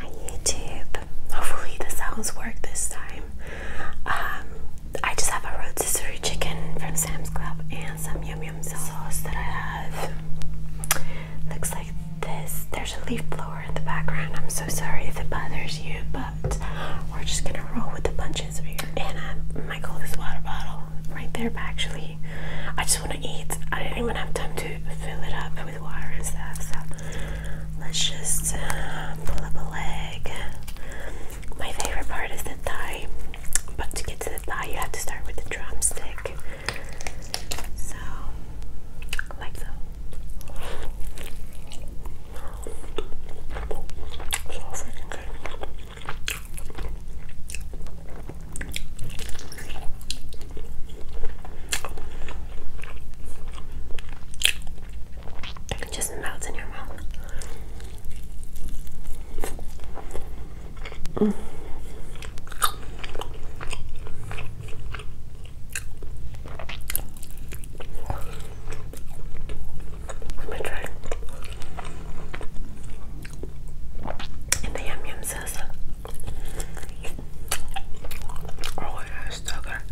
Hi YouTube. Hopefully the sounds work this time. Um, I just have a rotisserie chicken from Sam's Club and some yum yum sauce that I have. Looks like this. There's a leaf blower in the background. I'm so sorry if it bothers you, but we're just gonna roll with the punches And uh, my water bottle right there, actually, I just want to eat. I didn't even have time to fill it up with water and stuff. So let's just uh, pull up a leg. My favorite part is the thigh, but to get to the thigh, you have to start with the drumstick. So, like so. It just melts in your mouth. Let me try. And the yum yum says, "Oh, it has sugar."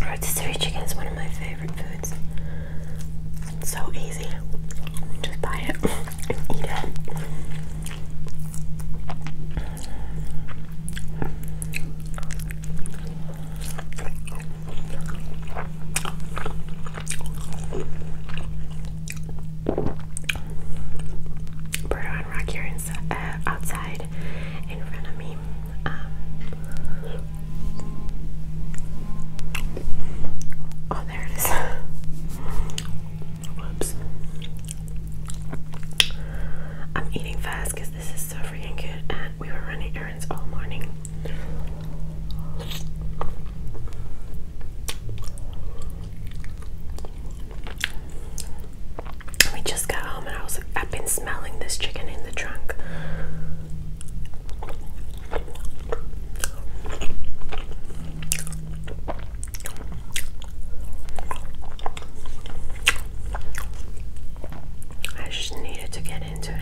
Rotisserie chicken is one of my favorite foods. It's so easy. Just buy it eat it. Berto and Rocky are inside, uh, outside in front of me. Um, oh, there it is. Whoops. I'm eating fast because this is so freaking good, and we were running errands all morning. We just got home, and I was like, I've been smelling this chicken in the trunk. I just needed to get into it.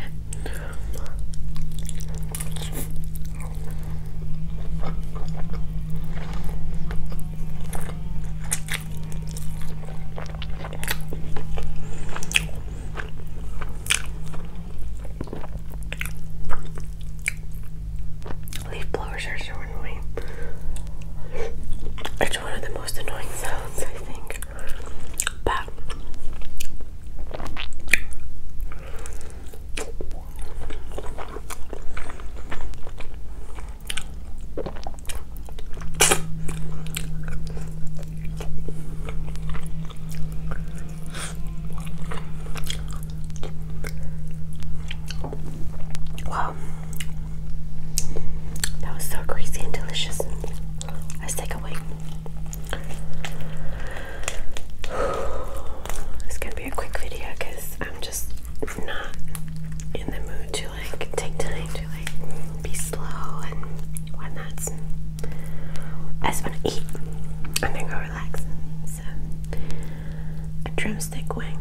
Leaf blowers are so annoying. It's one of the most annoying sounds, I think. Wow, that was so crazy and delicious. Let's take a wait. It's gonna be a quick video because I'm just not in the mood to like take time to like be slow and when that's I just want to eat and then go a drumstick wing.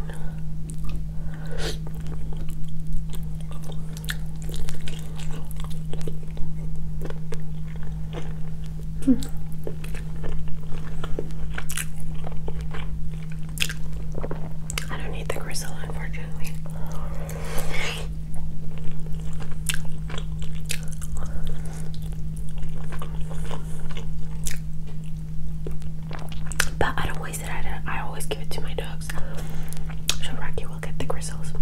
I don't need the gristle, unfortunately. But I don't waste it. I, always give it to my dogs. So Rocky will get the gristles.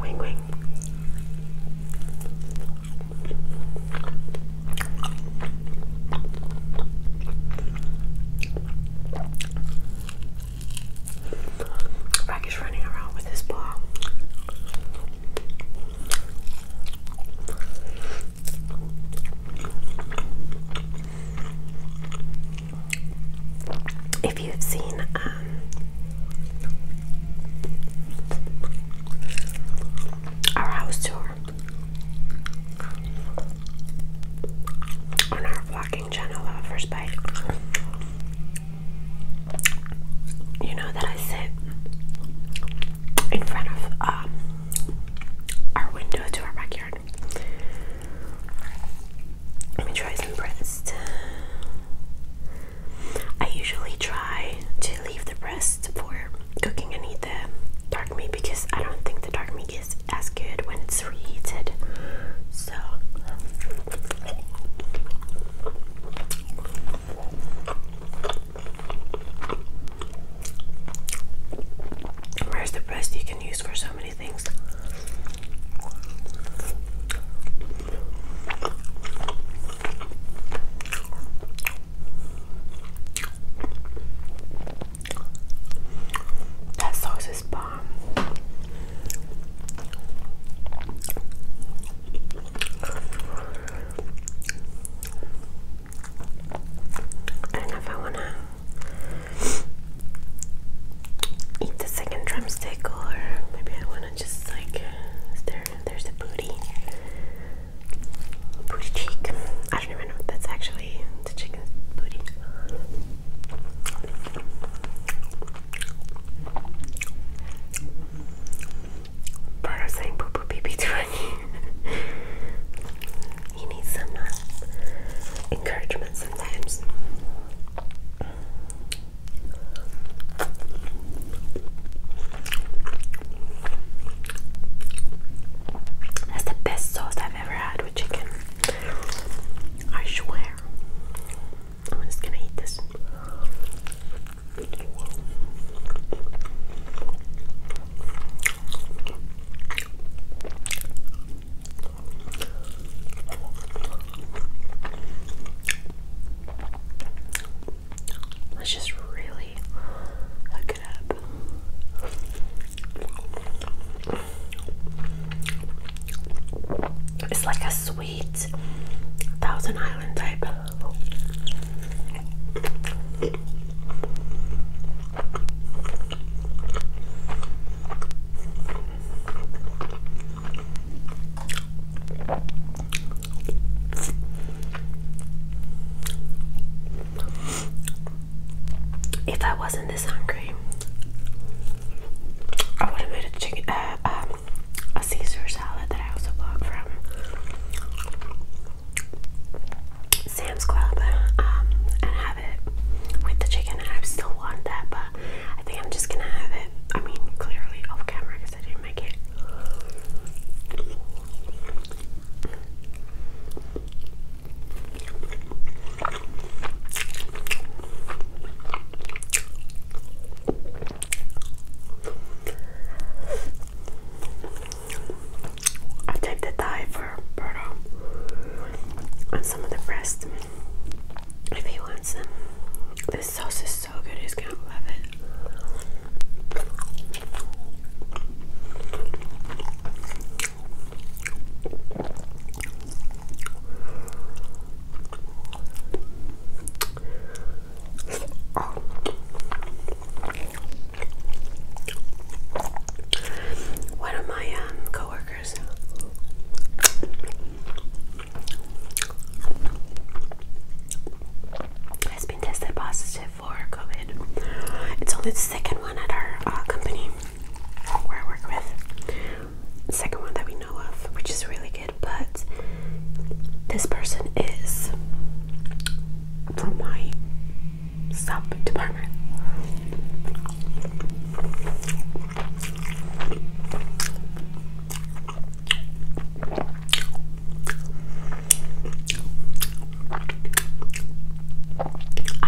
Wing wing. Rag is running around with his paw. If you've seen, um, our house tour on our vlogging channel, first bite. You know that I sit in front of um, our window to our backyard. Let me try some breasts. I usually try to leave the breast for cooking and eat the because I don't think the dark meat is as good when it's reheated. So where's the breast you can use for so many things? That sauce is bomb. I if I wanna eat the second drumstick or maybe I wanna just like there there's a booty. Booty cheek. I don't even know if that's actually the chicken's booty. Part saying poo poo pee pee to some uh, encouragement sometimes. That's the best sauce i I've ever had with chicken. I swear. I'm just gonna eat this. That's just really it's like a sweet Thousand Island type if I wasn't this hungry, I would have made a chicken, uh, um, Caesar salad that I also blogged from Sam's Club, um, and have it with the chicken. And I still want that, but I think I'm just gonna have it. I mean, clearly off camera because I didn't make it. I take the thigh for burro and some of the breast if he wants them. This sauce is so good, he's gonna love it. Oh. One of my um, coworkers has been tested positive before COVID. It's only the second one at our uh, company where I work with. second one that we know of, which is really good, but this person is from my sub department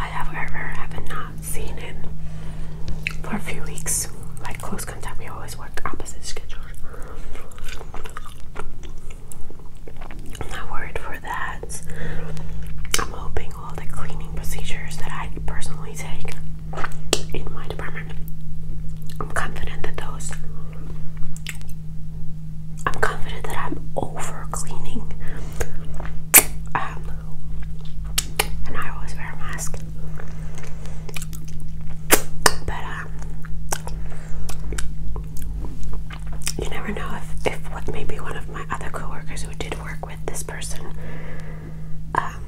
however, have not seen him for a few weeks. Like close contact, we always work opposite schedules. I'm not worried for that. I'm hoping all the cleaning procedures that I personally take in my department, I'm confident that those. I'm confident that I'm over cleaning and I always wear a mask. But um, you never know if, if what maybe one of my other coworkers who did work with this person um,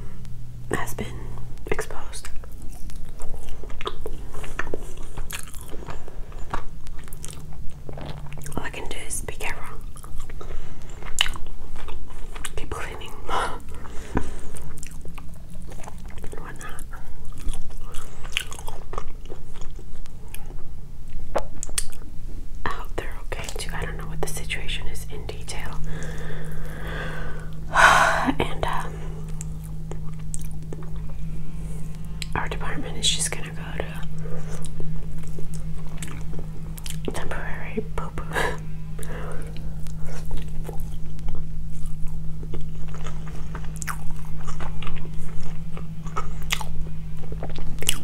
has been exposed. All I can do is be careful. Keep cleaning. Why not? I oh, hope they're okay too. I don't know what the situation is in detail. and um, our department is just gonna uh, temporary poop.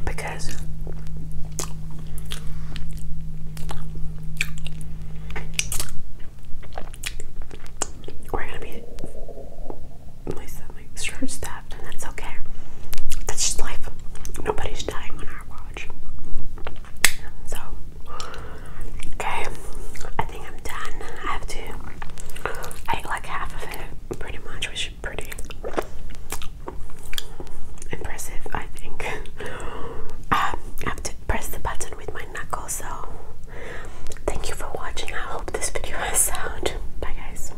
because we're gonna be my stomach's short stuffed, and that's okay. That's just life. Nobody's dying on our watch. So, okay, I think I'm done. I have to. I ate like half of it, pretty much, which pretty impressive, I think. Um, I have to press the button with my knuckle, so thank you for watching. I hope this video has sound. Bye, guys.